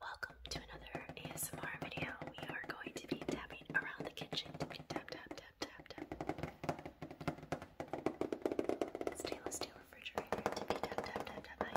Welcome to another ASMR video. We are going to be tapping around the kitchen. Tap, tap, tap, tap, tap. Stainless steel refrigerator. Tippy tap, tap, tap, handle.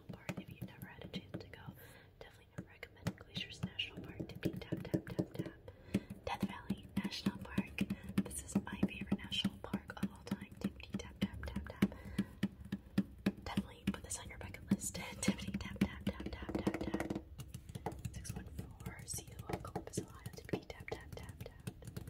Park if you've never had a chance to go. Definitely recommend Glaciers National Park tap tap tap tap. Death Valley National Park. This is my favorite national park of all time. tap tap tap tap. Definitely put this on your bucket list. tap tap tap tap tap tap. Six one four. See you Columbus, Ohio. Tippity tap tap tap tap.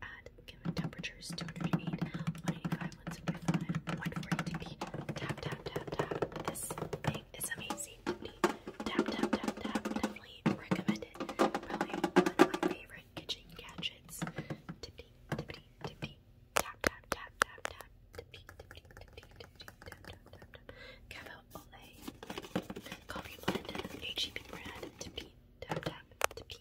water at given temperatures 208, 185, 175, 140 Tap, tap, tap, tap. This thing is amazing. Duty. Tap, tap, tap, tap. Definitely recommend it. Probably one of my favorite kitchen gadgets. Tippy, tippy, tippy. Tap, tap, tap, tap, tap. Tippy, tippy, tippy, tippy. Tap, tap, tap, tap. Cavo Olay. Coffee blend. H E B brand. Tippy, tap, tap, tippy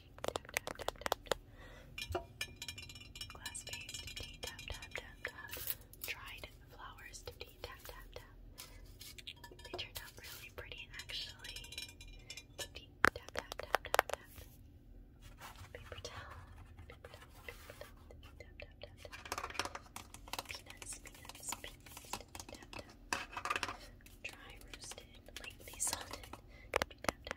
tap, tap, tap, tap. Glass vase, tip tee, tap, tap, tap, tap. Dried flowers, tip tee, tap, tap, tap. They turned out really pretty actually. Tip tee, tap, tap, tap, tap, tap. Paper towel, paper towel, paper towel, tip tee, tap, tap, tap, tap. Peanuts, peanuts, peanuts, tip tee, tap, tap. Dry roasted, lightly salted Organic honey,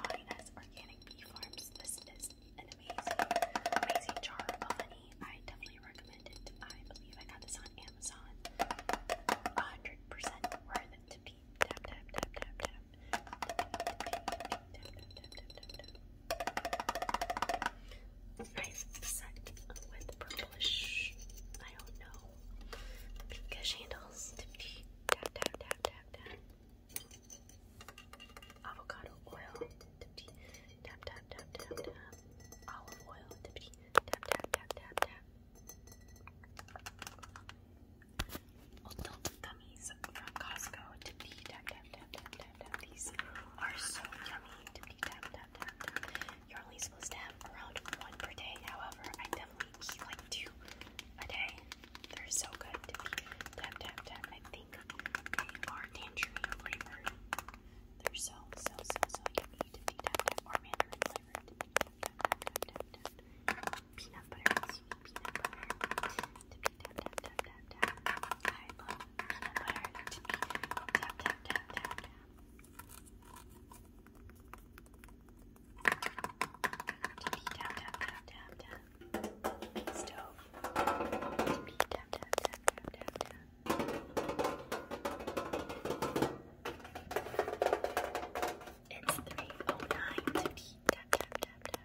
buying us organic bee farms. This is an amazing, amazing jar of honey. I definitely recommend it. I believe I got this on Amazon. 100% worth it tap, tap, tap, tap, tap nice set with purplish, I don't know, pinkish handles tap, tap, tap, tap, tap. Avocado oil, tap, tap, tap, tap, tap. Olive oil, tap, tap, tap, tap, tap gummies Costco. Dippy tap tap tap tap tap tap. These are so yummy. You're only supposed to have around one per day. However, I definitely eat like two a day. They're so good. Dippy tap I think they are tangerine flavored. They're so so so so yummy. Dippy tap tap Peanut butter peanut butter Stove. It's 309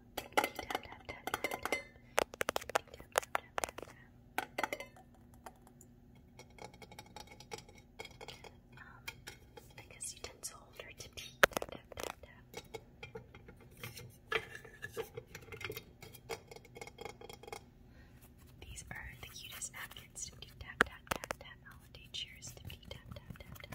tap I guess utensil holder to These are the cutest napkins to do cheers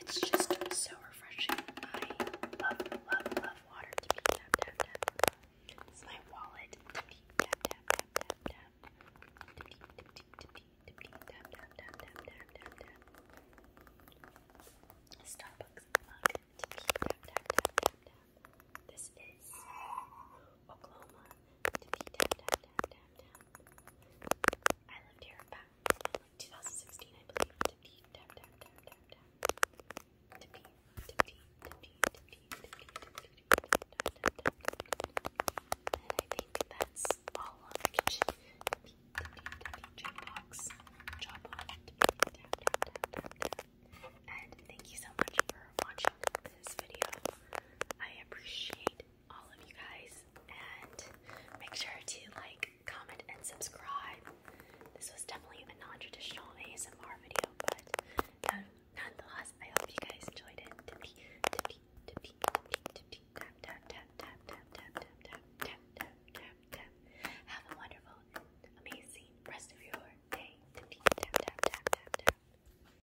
it's just so refreshing. I love, love, love water It's my wallet Starbucks This is Oklahoma I lived here back in 2016, I believe. And I think that's all on the kitchen. To be to be And thank you so much for watching this video. I appreciate all of you guys, and make sure to like, comment, and subscribe. This was definitely a non-traditional ASMR video, but nonetheless, I hope you guys enjoyed it. tap, tap, tap, tap, tap, tap, tap, tap, tap, tap, tap, Have a wonderful and amazing rest of your day. tap, tap, tap, tap, tap.